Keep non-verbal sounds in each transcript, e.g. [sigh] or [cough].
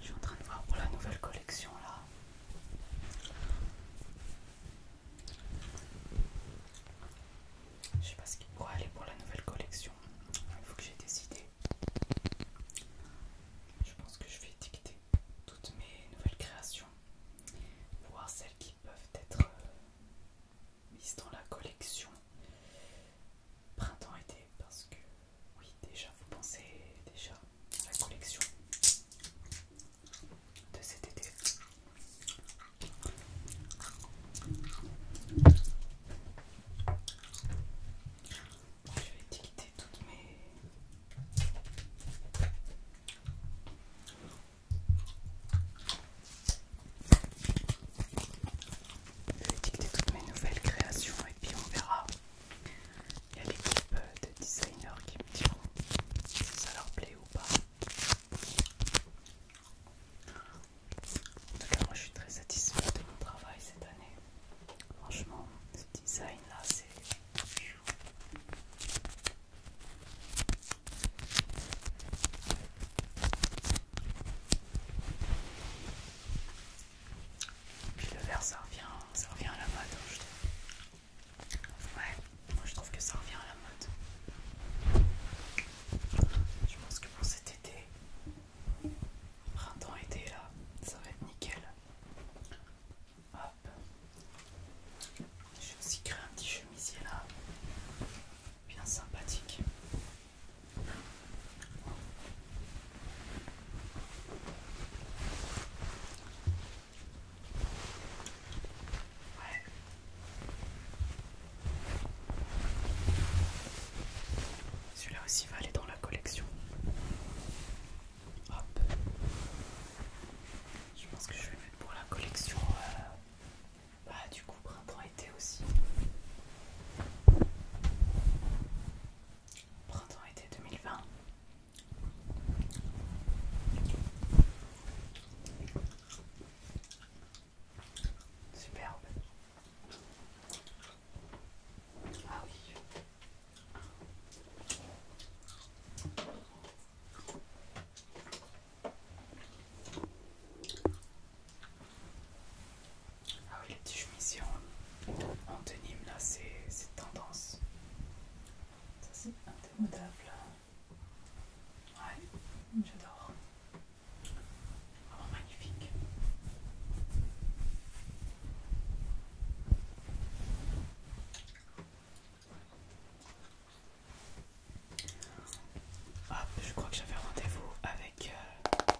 Je suis en train de voir pour la nouvelle collection là. Je sais pas ce qu'il pourrait aller pour la nouvelle collection. Il faut que j'ai des idées. Je pense que je vais étiqueter toutes mes nouvelles créations, voire celles qui peuvent être euh, mises dans la collection printemps-été, parce que oui, déjà vous pensez déjà à la collection de cet été. Je vais toutes mes. Je vais toutes mes nouvelles créations et puis on verra. Il y a l'équipe euh, de designers qui me diront si ça leur plaît ou pas. En tout cas, moi je suis très satisfaite de mon travail cette année. Franchement, ce design là, c'est. Puis le vert, ça revient, ça revient à la mode. Hein, ouais, moi je trouve que ça revient à la mode. Je pense que pour cet été, Printemps, été là, ça va être nickel. Hop. J'ai aussi créé un petit chemisier là, bien sympathique. Celui-là aussi va aller dans la collection. Hop. Je pense que je vais mettre pour la collection euh, bah, du coup printemps-été aussi. Printemps-été 2020. Superbe. Ah oui. Ah oui, les petites chemises en denim là, c'est tendance. Ça c'est indémodable. Ouais, j'adore. Vraiment oh, magnifique. Ah, je crois que j'avais rendez-vous avec euh,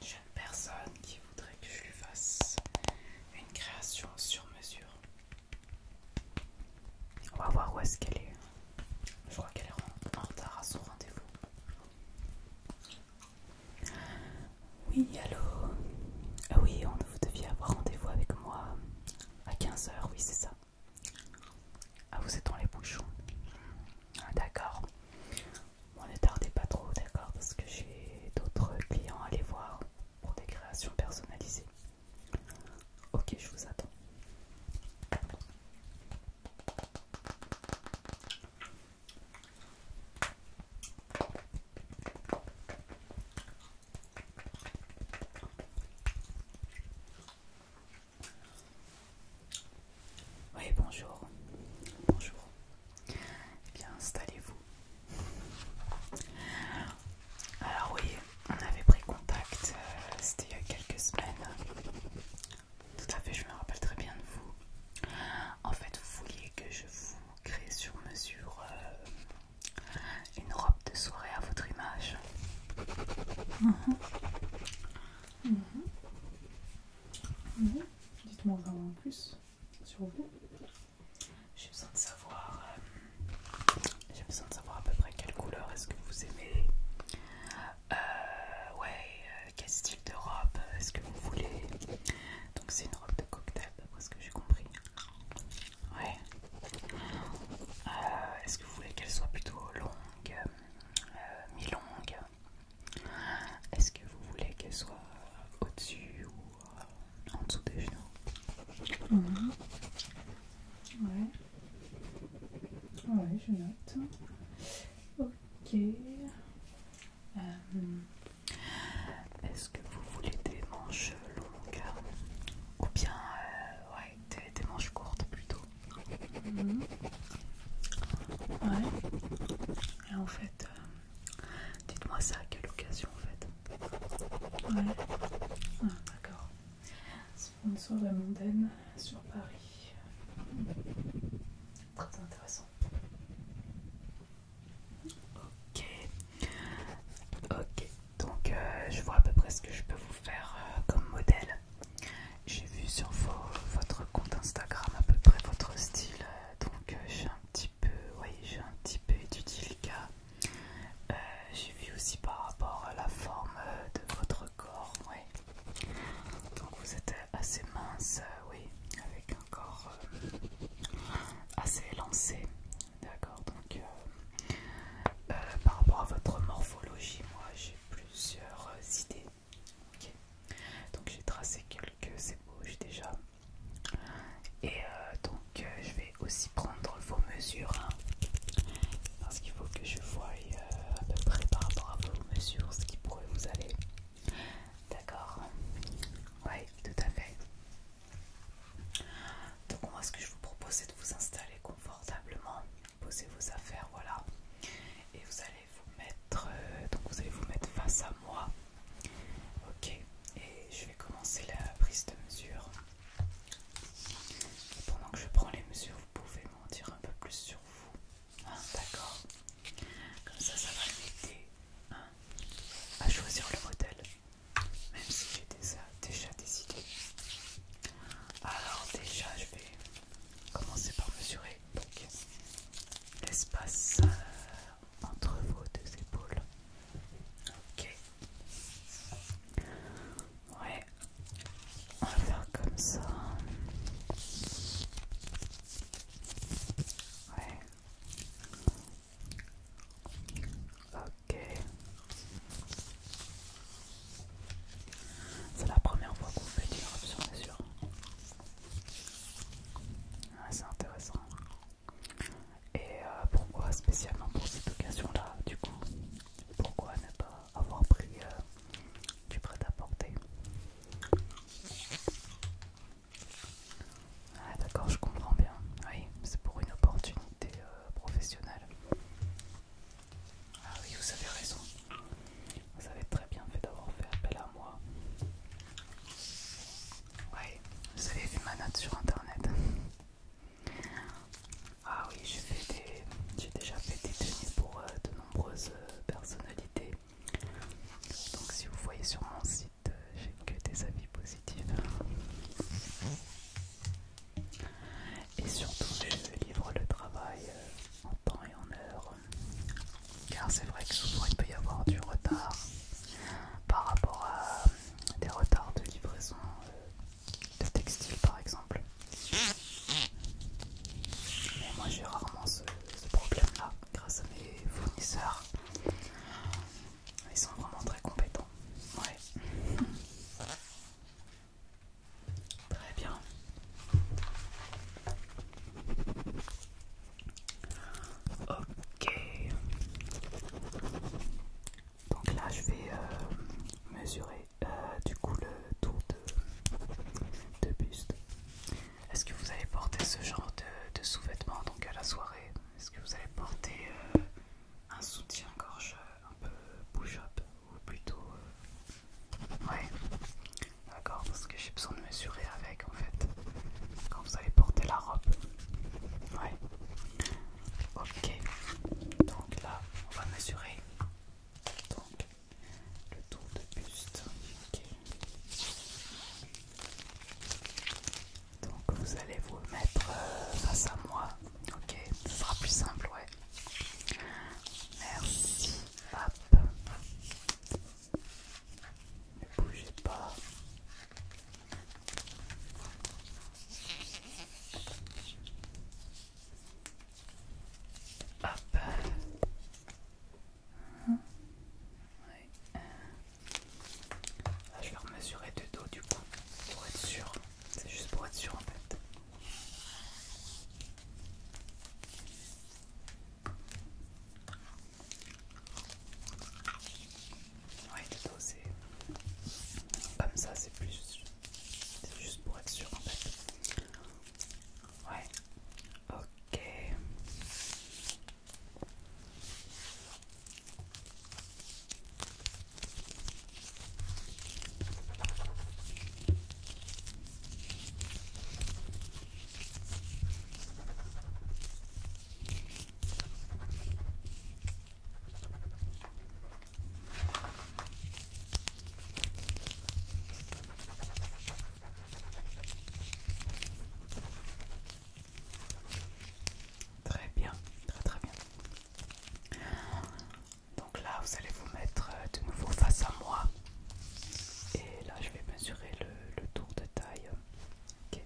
une jeune personne qui voudrait que je lui fasse une création sur mesure. On va voir où est-ce qu'elle est. Je crois qu'elle est en retard à son rendez-vous. Oui, allô ah Oui, on, vous deviez avoir rendez-vous avec moi à 15h, oui, c'est ça. Ah, vous êtes dans les bouchons. Ah, d'accord. Bon, ne tardez pas trop, d'accord, parce que j'ai d'autres clients à aller voir pour des créations personnalisées. Ok, je vous attends. Oui, bonjour. Bonjour. Eh bien, installez-vous. Alors oui, on avait pris contact, euh, c'était il y a quelques semaines. Tout à fait, je me rappelle très bien de vous. En fait, vous vouliez que je vous crée sur mesure euh, une robe de soirée à votre image. Mm-hmm. Mm-hmm. Mm-hmm. Dites-moi vraiment plus sur vous. J'ai besoin de savoir. Euh, j'ai besoin de savoir à peu près quelle couleur est-ce que vous aimez. Euh, ouais, euh, quel style de robe euh, est-ce que vous voulez Donc c'est une robe de cocktail d'après ce que j'ai compris. Ouais. Euh, est-ce que vous voulez qu'elle soit plutôt longue, euh, mi-longue Est-ce que vous voulez qu'elle soit au-dessus ou en dessous des genoux mhm. Ouais. Ouais, je note. Ok. Euh, est-ce que vous voulez des manches longues ou bien euh, des, manches courtes plutôt mhm. Ouais. Et en fait, euh, dites-moi ça à quelle occasion en fait. Ouais. Ah, d'accord. Sponsor de mondaine sur Paris. Très intéressant. Ok. Ok. Donc euh, je vois à peu près ce que je peux vous faire euh, comme modèle. J'ai vu sur votre compte Instagram à peu près votre style. Donc euh, j'ai un petit peu, voyez, j'ai un petit peu étudié le cas. j'ai vu aussi par rapport à la forme de votre corps, donc vous êtes assez mince, euh, oui, avec un corps euh, assez élancé, d'accord. Donc euh, par rapport à votre morphologie, moi j'ai plusieurs idées. Donc j'ai tracé quelques ébauches déjà. Et donc je vais aussi prendre vos mesures hein, parce qu'il faut que je vois euh, à peu près par rapport à vos mesures ce qui pourrait vous aller. D'accord Oui, tout à fait. Donc moi ce que je vous propose c'est de vous installer confortablement, poser vos affaires, voilà. Et vous allez vous mettre, euh, donc vous allez vous mettre face à moi. Ok, et je vais commencer la prise de mesure pendant que je prends les mesures, vous pouvez m'en dire un peu plus sur vous. Ah, d'accord Comme ça, ça va m'aider hein, à choisir le modèle, même si j'ai déjà, déjà décidé. Alors déjà, je vais commencer par mesurer l'espace euh, entre vos deux épaules. Ok. Ouais, on va faire comme ça. Ouais. Ok. C'est la première fois qu'on fait une sur c'est sûr. c'est intéressant. Et euh, pourquoi spécialement pour cette occasion-là, du coup pourquoi ne pas avoir pris euh, du prêt-à-porter Ah d'accord, je comprends bien. Oui, c'est pour une opportunité euh, professionnelle. Ah oui, vous avez raison. Vous avez très bien fait d'avoir fait appel à moi. Oui, vous avez vu ma sur internet. Ah oui, j'ai déjà fait des tenues pour euh, de nombreuses euh, personnalités. Donc si vous voyez sur mon site, euh, j'ai que des avis positifs. Et surtout, je livre le travail en temps et en heure. Car c'est vrai que souvent il peut y avoir du retard par rapport à des retards de livraison le textile par exemple. Mais moi j'ai rarement ce, problème-là grâce à mes fournisseurs. Ils sont vraiment très compétents. Ouais. [laughs] Très bien. Ok. Donc là, je vais euh, mesurer euh, du coup le tour de, buste. Est-ce que vous allez porter ce genre de, sous-vêtements donc à la soirée Est-ce que vous allez porter euh, un soutien-gorge un peu push-up ou plutôt d'accord, parce que j'ai besoin de mesurer avec en fait quand vous allez porter la robe. Ouais. Ok, donc là on va mesurer donc, le tour de buste. ok Donc vous allez vous mettre euh, face à moi. Ok, ce sera plus simple, ouais. Merci. Hop. Ne bougez pas. Ah, je vais remesurer de dos du coup pour être sûr. C'est juste pour être sûr en fait. Ouais, plutôt c'est. Comme ça, c'est plus. C'est juste pour être sûr en fait. Ouais. Ok. Très bien, très très bien. Donc là, vous allez vous mettre euh, de nouveau face à moi. Et là, je vais mesurer le, tour de taille euh,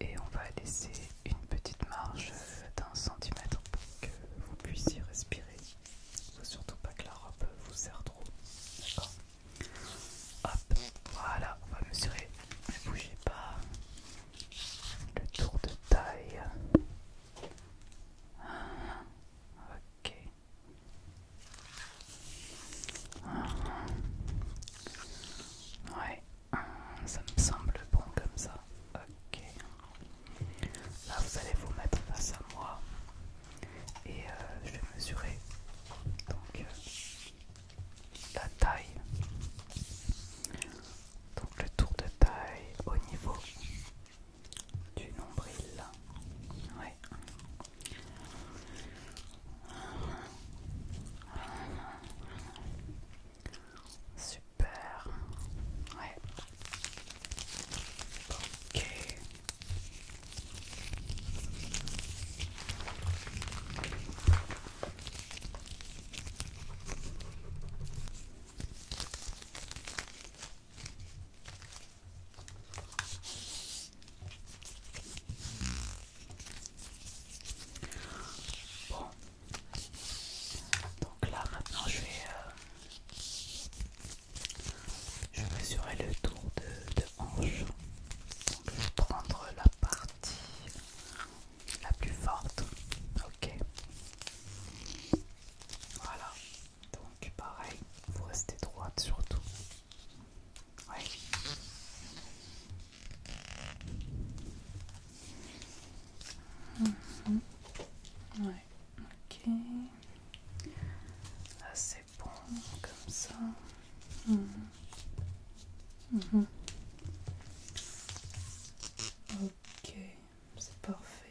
et on va laisser une petite marge euh, d'un centimètre pour que vous puissiez respirer faut surtout pas que la robe vous serre trop d'accord hop voilà on va mesurer ne bougez pas le tour de taille ok Ouais, euh, ça me semble bon comme ça. Ok. Là, vous allez vous mettre face à moi et euh, je vais mesurer donc euh, la taille. Donc le tour de taille au niveau du nombril. Ouais. Super. Ouais. Ok. Bon. Donc là maintenant je vais, mesurer euh, le tour de, de hanche. Donc je vais prendre la partie la plus forte. Ok. Voilà. Donc pareil, vous restez droite surtout. Oui ok. Là c'est bon, comme ça. Mhm. Mhm. Ok, c'est parfait.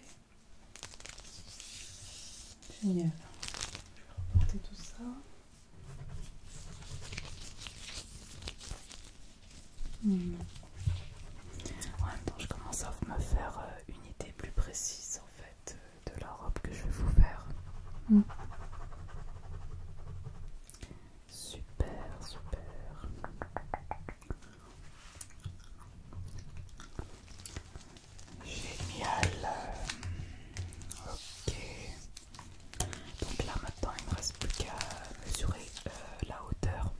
Génial. Je vais reporter tout ça je commence à me faire euh, une idée plus précise en fait euh, de la robe que je vais vous faire. Mm. Super, super. Génial. Ok. Donc là maintenant il ne me reste plus qu'à mesurer euh, la hauteur.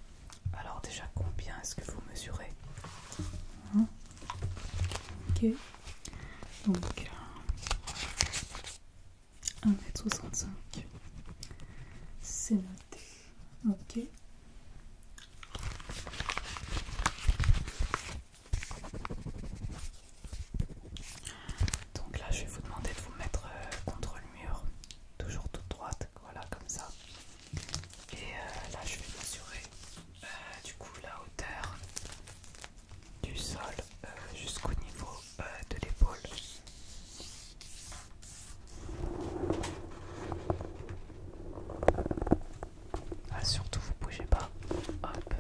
Alors déjà combien est-ce que vous mesurez hein Ok. Donc 1m65. Euh, C'est noté. Ok. Donc là, je vais vous demander de vous mettre euh, contre le mur, toujours toute droite, voilà comme ça. Et euh, là, je vais mesurer euh, du coup la hauteur du sol jusqu'au niveau de l'épaule. Ah, surtout, vous bougez pas. Hop.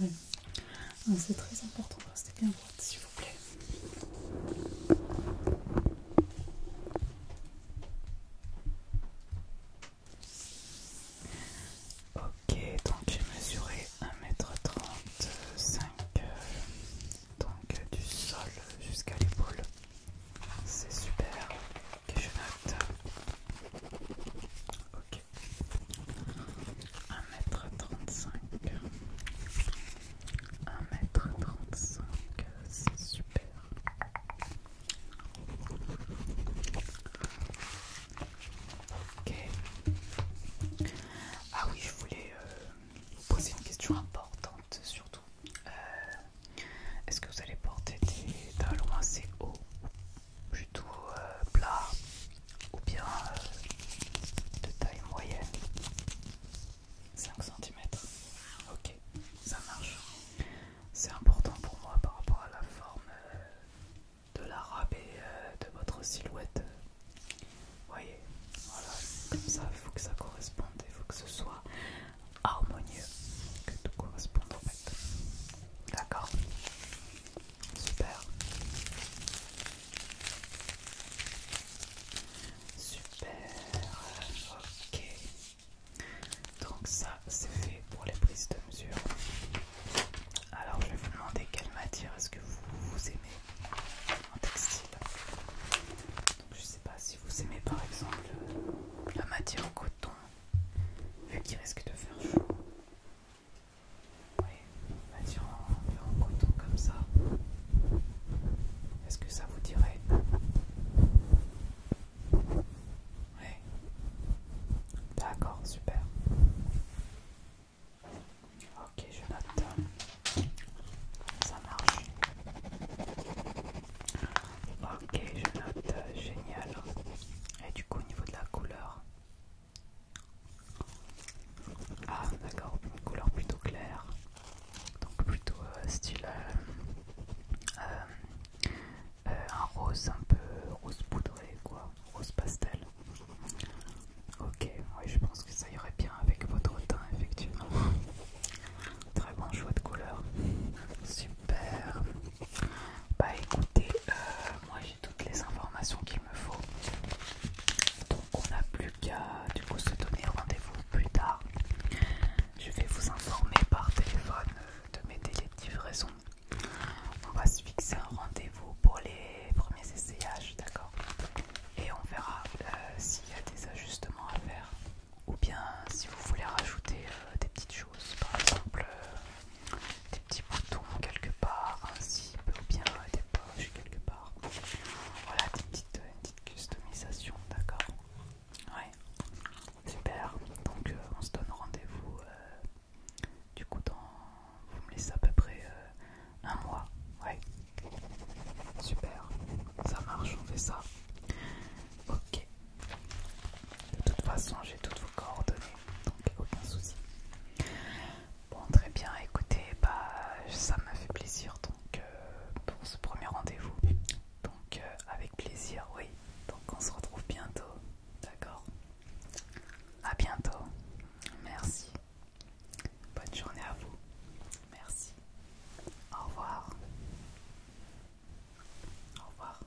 Mm, ah, c'est très important C'était bien droit s'il vous plaît. Ok, donc j'ai mesuré 1m35, euh, donc du sol jusqu'à l'épaule. C'est super. Ok, je note. Ok. 1m35 1m35 euh, c'est super ok ah oui je voulais euh, poser une question importante surtout euh, est-ce que vous allez porter des talons assez hauts plutôt tout plats ou bien euh, de taille moyenne 5 cm ok ça marche c'est important pour moi par rapport à la forme euh, de la et euh, de votre silhouette voyez voilà comme ça il faut que ça corresponde il faut que ce soit harmonieux que tout corresponde en fait d'accord Super. Super. Ok. Donc ça, c'est fait pour les prises de mesure. Alors je vais vous demander quelle matière est-ce que vous, aimez en textile. Donc je sais pas si vous aimez par exemple la matière en coton, vu qu'il risque de faire chaud. Oui, bah, on va dire en, coton comme ça. Est-ce que ça vous dirait Oui. D'accord, super. Ok, je note. Ça marche. Ok, je note. Génial. Et du coup, au niveau de la couleur, ah d'accord, une couleur plutôt claire, donc plutôt euh, style euh, euh, un rose un peu rose poudré quoi, rose pastel. Ok, je pense que ça irait bien avec votre teint effectivement. Très bon choix de couleur. Super. Bah écoutez, moi moi toutes les informations qu'il me faut. Donc on n'a plus qu'à du coup se donner rendez-vous plus tard. Je vais vous informer par téléphone euh, de mes délais de livraison. On va se fixer un rendez-vous pour les premiers essayages, d'accord Et on verra euh, s'il y a des ajustements à faire. Ou bien si vous voulez rajouter euh, des petites choses, par exemple des petits boutons quelque part, ainsi cible ou bien des poches quelque part. Voilà, euh, une petite customisation, d'accord Ouais, super. Donc euh, on se donne rendez-vous euh, du coup dans... Vous me laissez à peu près un mois. Ouais. Super. Ça marche, on fait ça. Ok. De toute façon, j'ai toutes vos coordonnées donc aucun souci. Bon, très bien, écoutez, bah, ça m'a fait plaisir donc euh, pour ce premier rendez-vous. Donc, euh, avec plaisir, oui. Donc, on se retrouve bientôt, d'accord À bientôt, merci. Bonne journée à vous, merci. Au revoir. Au revoir.